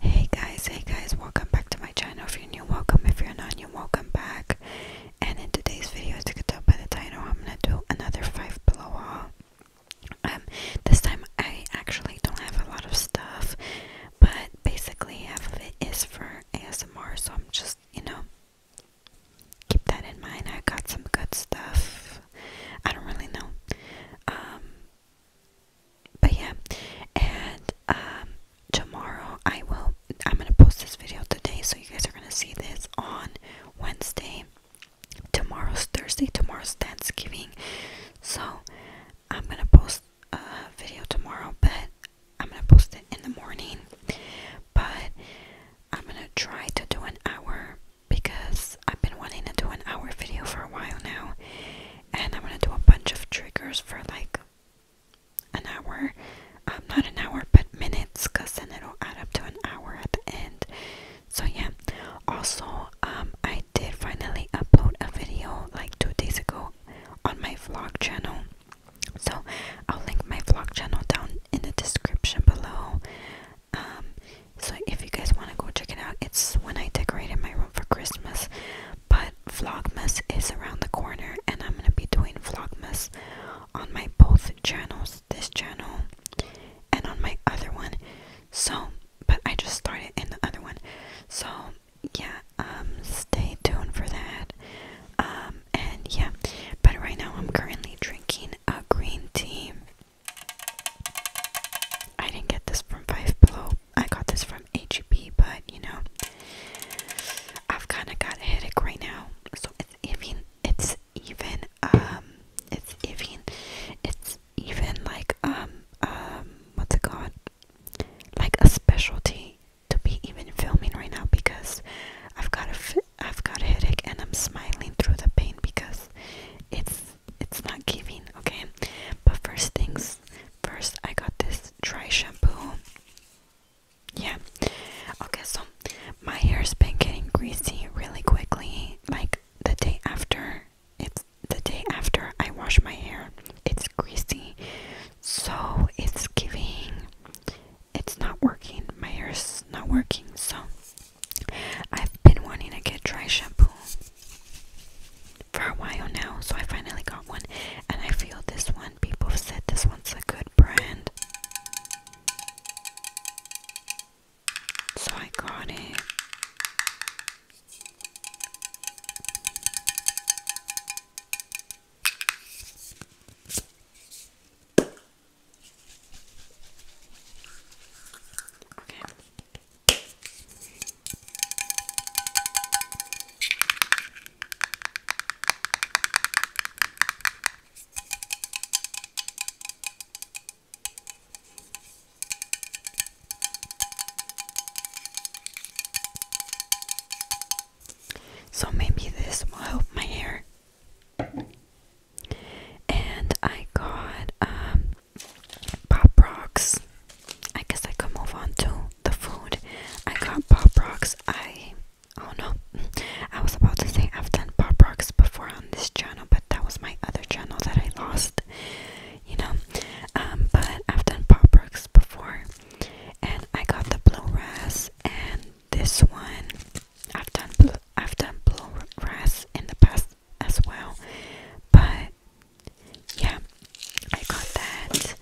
Hey guys, hey guys, welcome back to my channel. If you're new, welcome. If you're not new, welcome back. And in today's video, as you can tell by the title, I'm gonna do another five blow haul. Um, this time I actually don't have a lot of stuff, but basically half of it is for ASMR, so I'm just, you know, keep that in mind. I got some good stuff. I don't really know. Um, but yeah, and um, tomorrow I will. I'm gonna post this video today, so you guys are gonna see this on Wednesday. Tomorrow's Thursday. Tomorrow's Thanksgiving, so I'm gonna post a video tomorrow, but I'm gonna post it in the morning. But I'm gonna try to do an hour because I've been wanting to do an hour video for a while now, and I'm gonna do a bunch of triggers for like an hour. Um, not an hour, but minutes, because then it'll add up to an hour at the end. So, yeah, also, um, I did finally upload a video like two days ago on my vlog channel. So, I'll link my vlog channel down in the description below. Um, so if you guys want to go check it out, it's when I decorated my room for Christmas. But Vlogmas is around the corner, and I'm gonna be doing Vlogmas on my both channels, this channel and on my other one. So, but I just started in the other one. So yeah, um, stay tuned for that. Um, and yeah, but right now I'm currently drinking a green tea. I didn't get this from Five Below. I got this from HEB, but you know, I've kind of got a headache right now, so it's even, um, it's even, it's even like, um, um, what's it called? Like a specialty to be even filming right now because I've got a, I've got a headache and I'm smiling through the pain because it's it's not giving, okay? But first things first, I got this dry shampoo. Yeah. Okay, so my hair's been getting greasy really quickly. Like the day after, it's the day after I wash my hair, it's greasy. So it's giving, it's not working. My hair's not working. So I've been wanting to get dry shampoo for a while now, so I finally got one. And I feel this one, people have said this one's a good brand. So I got it. Okay. So maybe this will help my hair. And I got um, Pop Rocks. I guess I could move on to the food. I got Pop Rocks. I oh no, I was about to say I've done Pop Rocks before on this channel, but that was my other channel that I lost. You know, um, but I've done Pop Rocks before, and I got the blue ras and this one I've done blue, I've done bluegrass in the past as well, but yeah, I got that,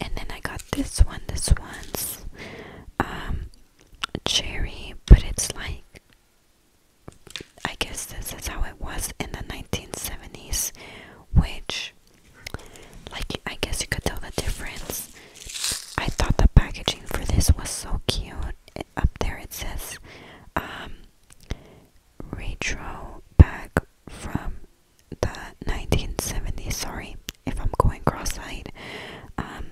and then I got this one. This one's um cherry, but it's like I guess this is how it was in the 1970s, which, like, I guess you could tell the difference. I thought the packaging for this was so cute. up there it says um, retro bag from the 1970s. Sorry if I'm going cross-eyed. Um,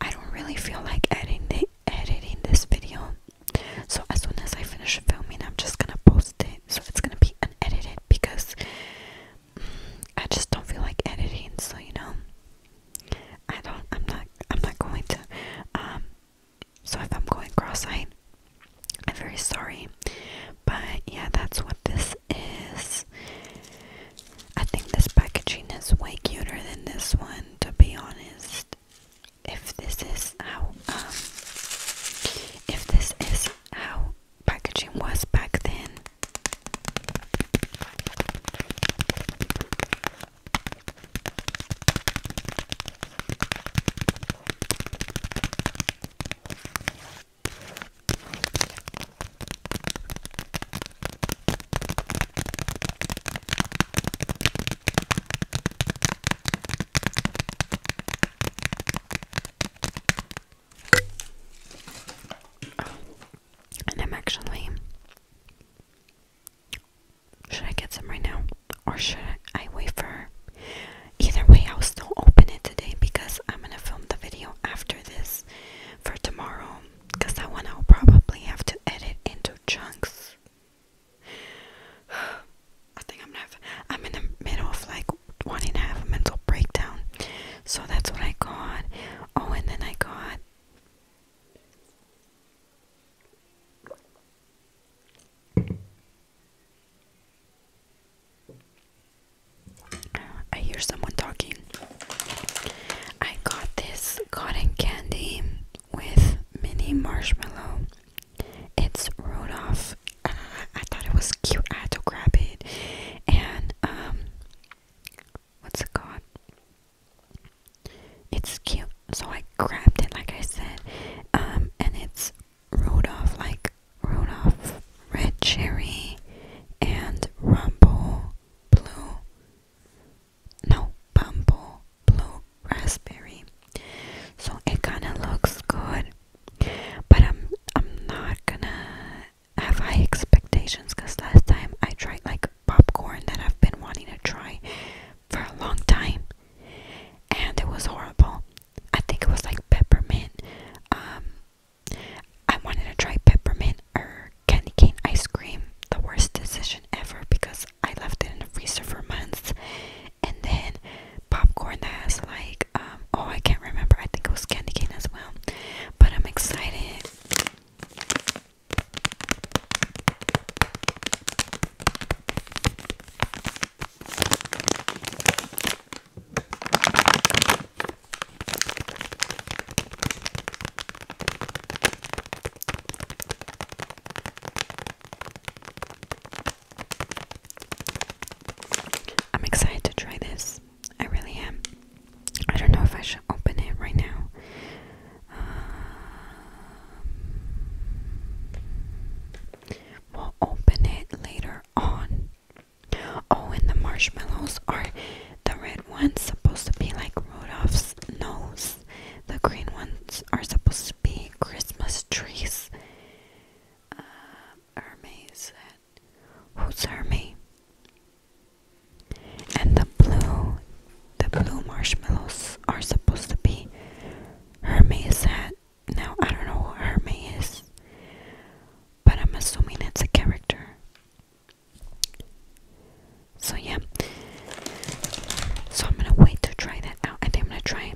I don't really feel like editing the, editing this video, so as soon as I finish filming, I'm just gonna post it. So it's gonna be unedited because I just don't feel like editing, so you know, I don't. I'm not. I'm not going to. Um. So if I'm going cross-eyed, I'm very sorry. But yeah, that's what this is. I think this packaging is way cuter than this one, to be honest. If this is how, um, if this is how packaging was back then. And I'm actually. Should I get some right now? Or should I wait for. Either way, I'll still open it today because I'm gonna film the video after this for tomorrow. Because that one I'll probably have to edit into chunks. I think I'm not. I'm in the middle of like wanting to have a mental breakdown. So that's what I got. Oh, and then I got I hear someone talking. I got this cotton candy with mini marshmallow. It's Rudolph I thought it was cute. I had grab it. And um what's it called? It's cute. So I grabbed it like I said. Um and it's Rudolph like Rudolph Red Cherry and Rumble Blue No Bumble Blue Raspberry. So it kinda looks good but I'm um, I'm not gonna have high expectations because last time I tried like popcorn that I've been wanting to try for a long time and it was horrible. I think it was like peppermint. Um I wanted to try peppermint or candy cane ice cream. The worst decision ever because I left it in the freezer for months and then popcorn that has like um, oh I can't remember I think it was candy cane as well but I'm excited I'm excited to try this. I really am. I don't know if I should open it right now. Um, we'll open it later on. Oh, and the marshmallows are the red ones supposed to be like Rudolph's nose. The green ones are supposed to be Christmas trees. Uh, Hermes said, Who's Hermes? And the blue, the blue marshmallows are supposed to be Hermes' hat. Now, I don't know who Hermes is, but I'm assuming it's a character. So, yeah. So, I'm gonna wait to try that out. I think I'm gonna try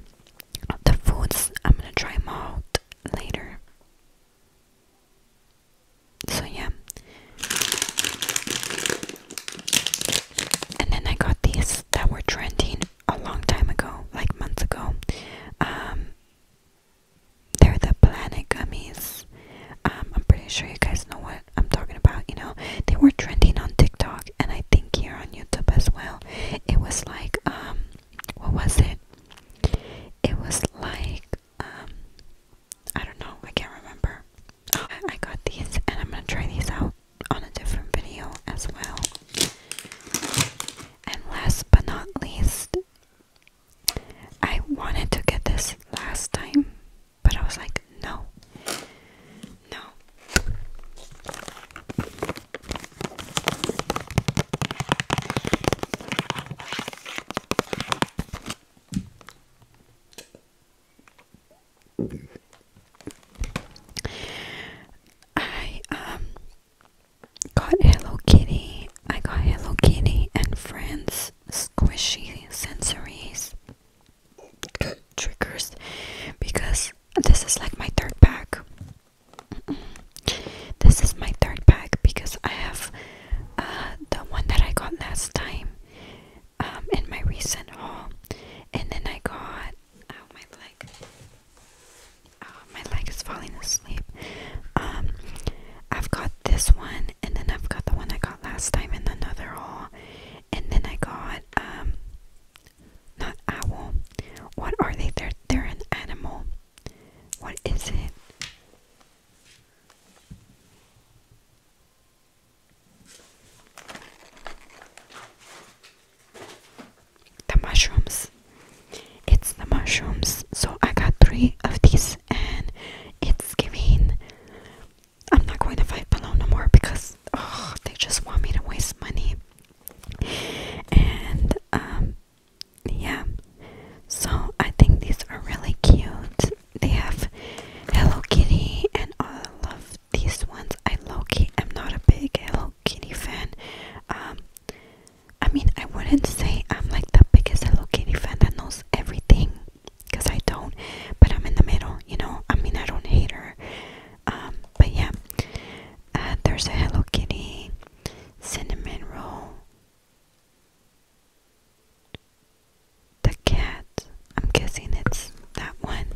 the foods I'm gonna try them out later. So yeah. And then I got these that were trending a long time ago, like months ago. Um they're the planet gummies. Um, I'm pretty sure you guys know what I'm talking about, you know. They were trending on TikTok and I think here on YouTube as well. It was like um, what was it? It was like um, I don't know, I can't remember. I got these and I'm gonna try these out on a different video as well. And last but not least I wanted to get this last time, but I was like, no. No. I um got Hello Kitty. I got Hello Kitty and Friends squishy sensories. triggers because this is like my third pack. This is my third pack because I have uh, the one that I got last time um, in my recent haul, and then I got oh, my leg, oh, my leg is falling asleep. Um, I've got this one, and then I've got the one I got last time in another haul, and then I got um not owl. What are they? They're, they're an animal. What is it? The mushrooms. It's the mushrooms. So I got three of these and it's giving I'm not going to fight below no more because oh, they just want me to waste money. And um, yeah, so I think these are really cute. They have Hello Kitty and all of these ones. I low key am not a big Hello Kitty fan. Um, I mean, I wouldn't say I'm like the biggest Hello Kitty fan that knows everything because I don't, but I'm in the middle, you know. I mean, I don't hate her, um, but yeah. Uh, there's a Hello Kitty cinnamon roll. The cat, I'm guessing it's that one.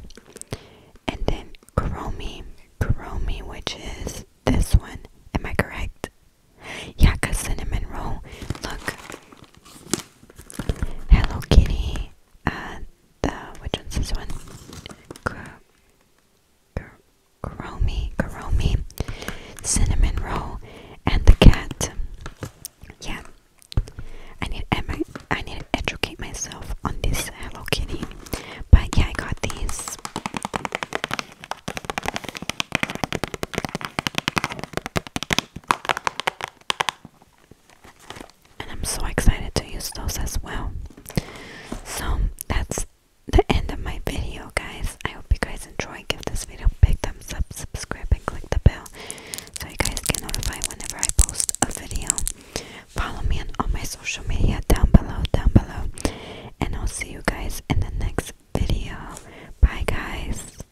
And then Kuromi, Kuromi, which is this one. Am I correct? Yeah, cause cinnamon roll. Look, Hello Kitty and uh, which one's this one? Karomi, Karomi, Cinnamon Roll, and the cat. Yeah, I need I need to educate myself on this Hello Kitty. But yeah, I got these and I'm so excited to use those as well. So that's the end of my video, guys. I hope you guys enjoy. Give this video a big thumbs up, subscribe, and click the bell so you guys get notified whenever I post a video. Follow me on all my social media down below, down below, and I'll see you guys in the next video. Bye, guys.